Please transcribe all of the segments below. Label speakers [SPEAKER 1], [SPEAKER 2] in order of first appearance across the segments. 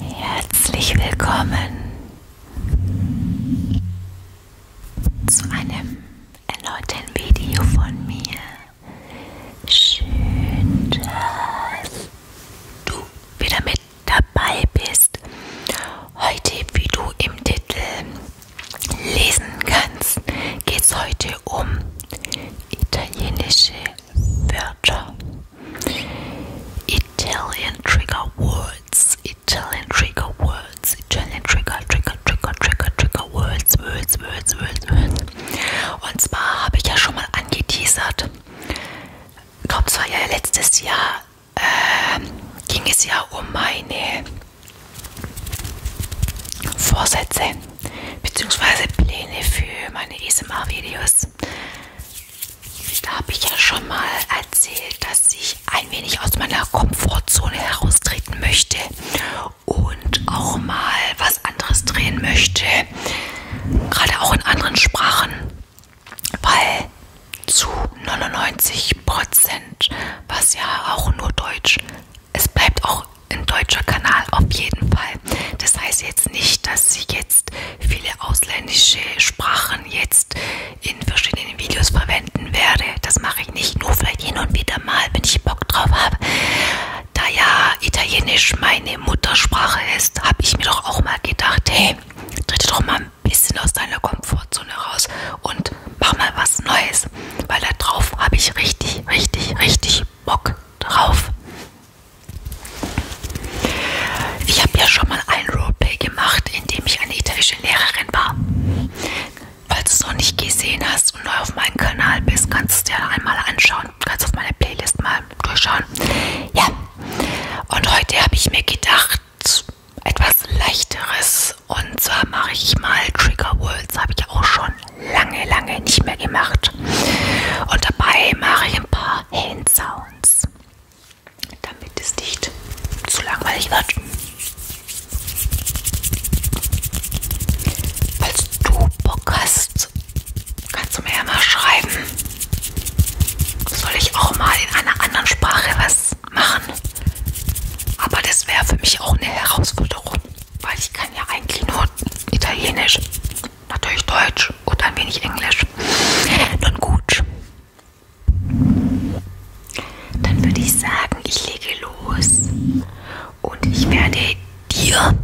[SPEAKER 1] Herzlich willkommen zu einem erneuten Video von mir. Schön, dass du wieder mit dabei bist. Heute, wie du im Titel lesen kannst, geht es heute um italienische Wörter. Italian Trigger Words, Italian Trigger Words, Italian Trigger, Trigger, Trigger, Trigger, Trigger Words, Words, Words, Words, Words. Und zwar habe ich ja schon mal angeteasert, ich glaube, es war ja letztes Jahr, äh, ging es ja um meine Vorsätze bzw. Pläne für meine ASMR-Videos. Da habe ich ja schon mal erzählt, dass ich ein wenig aus meiner Komfortzone heraustreten möchte und auch mal was anderes drehen möchte, gerade auch in anderen Sprachen, weil zu 99% was ja auch nur Deutsch. Es bleibt auch ein deutscher Kanal auf jeden Fall. Das heißt jetzt nicht, dass sie jetzt viele ausländische Sprachen jetzt in verschiedenen Videos verwenden werde. Das mache ich nicht, nur vielleicht hin und wieder mal, wenn ich Bock drauf habe. Da ja Italienisch meine Muttersprache ist, habe ich mir doch auch mal gedacht, hey, tritt doch mal ein bisschen aus deiner Komfort Komfortzone raus und mach mal was Neues, weil da drauf habe ich richtig, richtig, richtig Bock drauf. Ich habe ja schon mal ein Roleplay gemacht, in dem ich eine italienische Lehrerin war. Falls du es noch nicht gesehen hast und neu auf meinem Kanal bist, kannst du es dir einmal anschauen. Kannst auf meine Playlist mal durchschauen. Ja, und heute habe ich mir gedacht, etwas leichteres und zwar mache ich mal Trigger Worlds, habe ich auch schon lange, lange nicht mehr gemacht. Und dabei mache ich ein paar Hand Sounds, damit es nicht zu langweilig wird. Falls du Bock hast, kannst du mir ja mal schreiben. Soll ich auch mal in einer anderen Sprache was machen? Aber das wäre für mich auch eine Herausforderung, weil ich kann ja eigentlich nur Italienisch, natürlich Deutsch und ein wenig Englisch. Nun gut. Dann würde ich sagen, ich lege los und ich werde dir,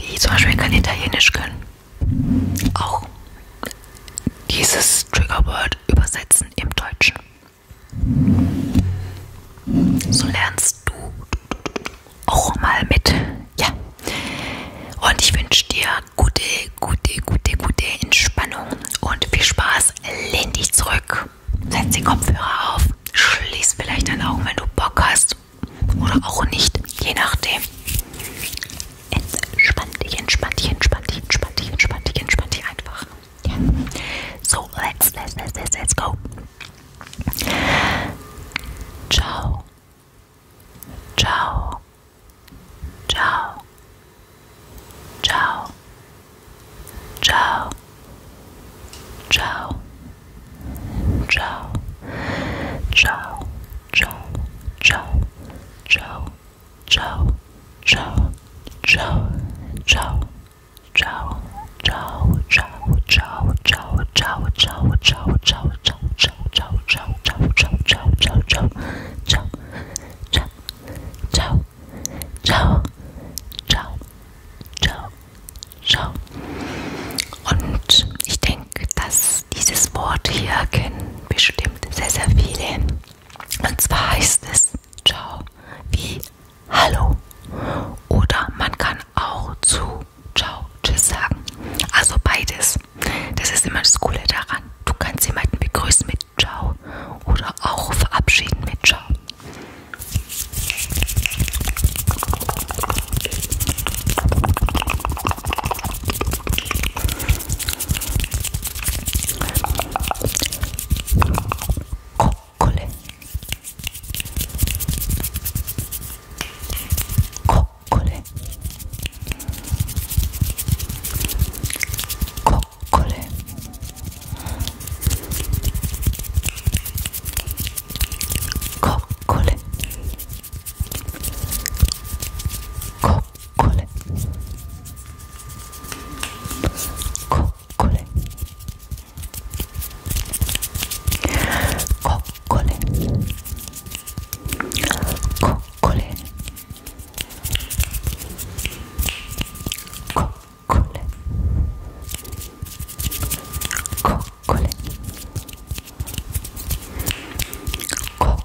[SPEAKER 1] die zum Beispiel kein Italienisch können, auch dieses Triggerword übersetzen im Deutschen. So lernst du auch mal mit. Ja. Und ich wünsche dir gute, gute, gute, gute Entspannung und viel Spaß. Lehn dich zurück. Setz die Kopfhörer auf. Schließ vielleicht deine Augen, wenn du Bock hast. Oder auch nicht. Je nachdem. Entspann dich, entspann dich, entspann dich, entspann dich, entspann dich, entspann dich einfach. Yeah. So, let's, let's, let's, let's, let's go. Ciao. Ciao. Ciao. Ciao. Ciao. Ciao. Ciao. Ciao. Ciao. Ciao. Ciao ciao, ciao, ciao, ciao, ciao, ciao, ciao, ciao, ciao, ciao, ciao, ciao, ciao, ciao. Und ich denke, dass dieses Wort hier kennen bestimmt sehr, sehr viele. Und zwar heißt es Ciao wie Hallo. Oder man kann auch zu Ciao, Tschüss sagen. Also beides. Das ist immer das Coole daran. Du kannst jemanden begrüßen mit Ciao oder auch verabschieden mit Ciao. ここれここれここれここれここれここれこれここれここれここれここれここれこ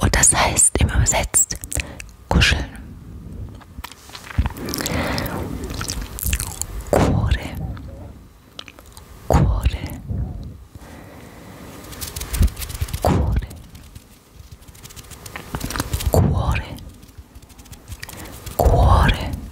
[SPEAKER 1] Und das heißt im Übersetzt kuscheln. Kore. Kore. Kore. Cuore, cuore,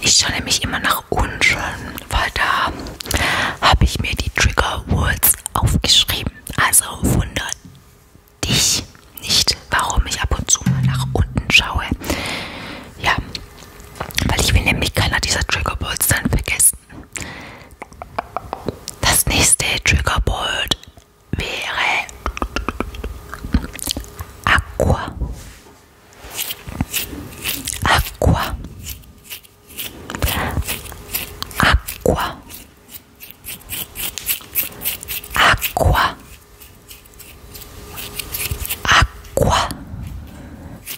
[SPEAKER 1] Ich schaue nämlich immer nach unten, weil da habe ich mir die Trigger Words aufgeschrieben. Also wundert dich nicht, warum ich ab und zu mal nach unten schaue. Ja, weil ich will nämlich keiner dieser Triggerballs dann vergessen. Das nächste Triggerball wäre Aqua. Aqua. Aqua. Aqua. Aqua.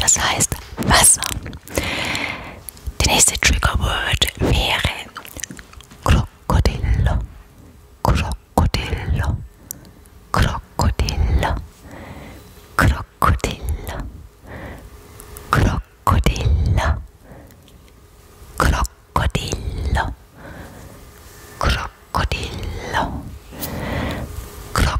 [SPEAKER 1] Das heißt Wasser. Die nächste Triggerword wäre Krokodillo. Krokodillo. Krokodillo. Krokodillo. Krokodillo. Krokodillo. Krokodillo. Krokodillo.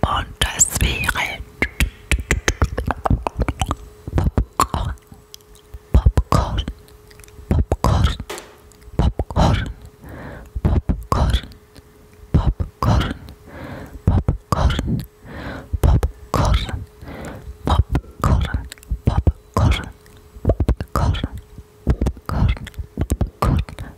[SPEAKER 1] Und das wäre Popcorn, Popcorn, Popcorn, Popcorn, Popcorn, Popcorn, Popcorn, Popcorn, Popcorn, Popcorn, Popcorn, Popcorn, Popcorn,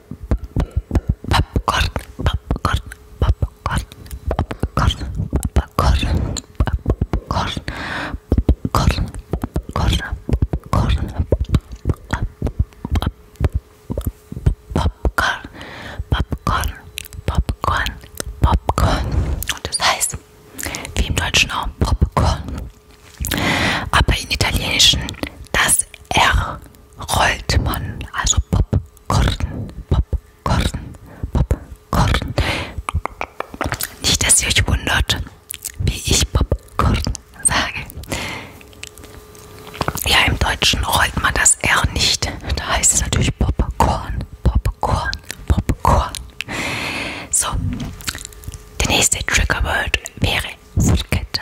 [SPEAKER 1] Popcorn, Popcorn, Popcorn, Popcorn, Popcorn, Popcorn, Popcorn, Popcorn, Popcorn, Popcorn, Popcorn, Popcorn, Popcorn. Und das heißt, wie im Deutschen auch Popcorn, aber im Italienischen das R rollt man, also Popcorn, Popcorn, Popcorn. Nicht, dass ihr euch wundert, wie ich Popcorn sage. Ja, im Deutschen rollt man das R nicht. Da heißt es natürlich Popcorn, Popcorn, Popcorn. So, der nächste Triggerword wäre Foodkette.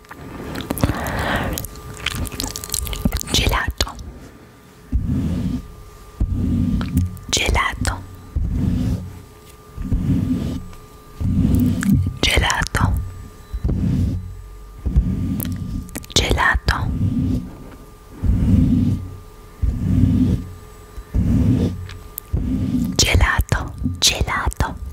[SPEAKER 1] gelato gelato gelato gelato gelato gelato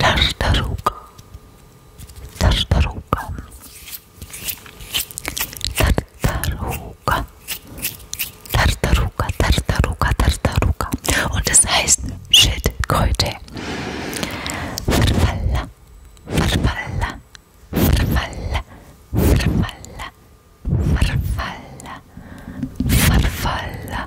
[SPEAKER 1] Tartaruga. Tartaruga. Tartaruga. Tartaruga, Tartaruga, Tartaruga. Und es das heißt Schildkröte. Farfalla, Farfalla, Farfalla, Farfalla, Farfalla, Farfalla, Farfalla,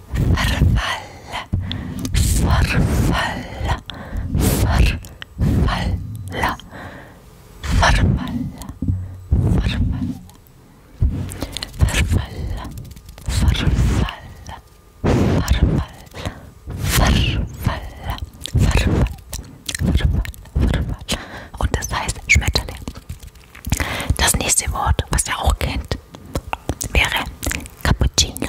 [SPEAKER 1] Verfall, Verfall, Verfall, Verfall, Verfall, Verfall, Verfall, Verfall, Verfall. Verfall, Verfall, Verfall, Verfall. Und das heißt Schmetterling. Das nächste Wort, was ihr auch kennt, wäre Cappuccino.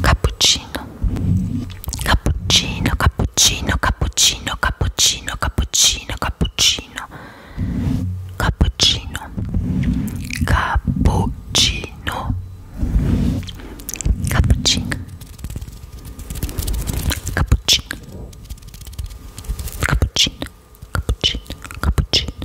[SPEAKER 1] cappuccino cappuccino cappuccino cappuccino cappuccino cappuccino cappuccino cappuccino cappuccino cappuccino cappuccino cappuccino cappuccino cappuccino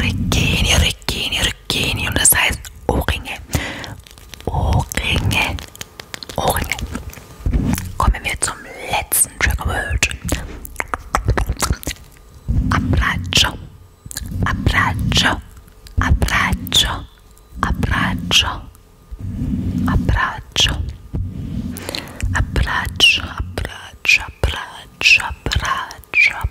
[SPEAKER 1] Regini, Regini, Regini und das heißt Ohrringe. Ohrringe. Ohrringe. Kommen wir zum letzten Triggerword. Abbraccio. Abbraccio. Abbraccio. Abbraccio. Abbraccio. Abbraccio. Abbraccio. Abbraccio. Abbraccio.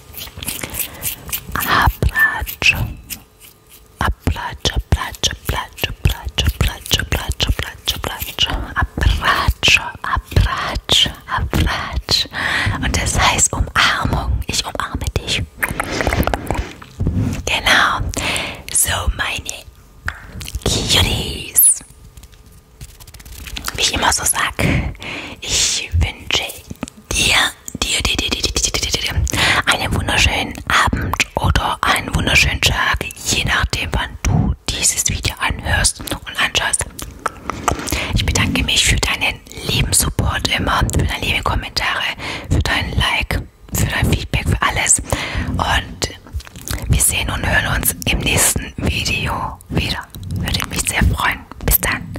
[SPEAKER 1] Abratsch. Abratsch, abratsch, abratsch, abratsch, abratsch, abratsch, abratsch, abratsch, abratsch, abratsch, abratsch. Und das heißt Umarmung. Ich umarme dich. Genau. So, meine Cuties. Wie ich immer so sage, ich wünsche dir, dir, dir, dir, dir, dir, dir, dir, dir einen wunderschönen Abend oder einen wunderschönen Tag, je nachdem, wann du dieses Video anhörst und anschaust. Ich bedanke mich für deinen lieben Support immer, für deine lieben Kommentare, für dein Like, für dein Feedback, für alles. Und wir sehen und hören uns im nächsten Video wieder. Würde mich sehr freuen. Bis dann.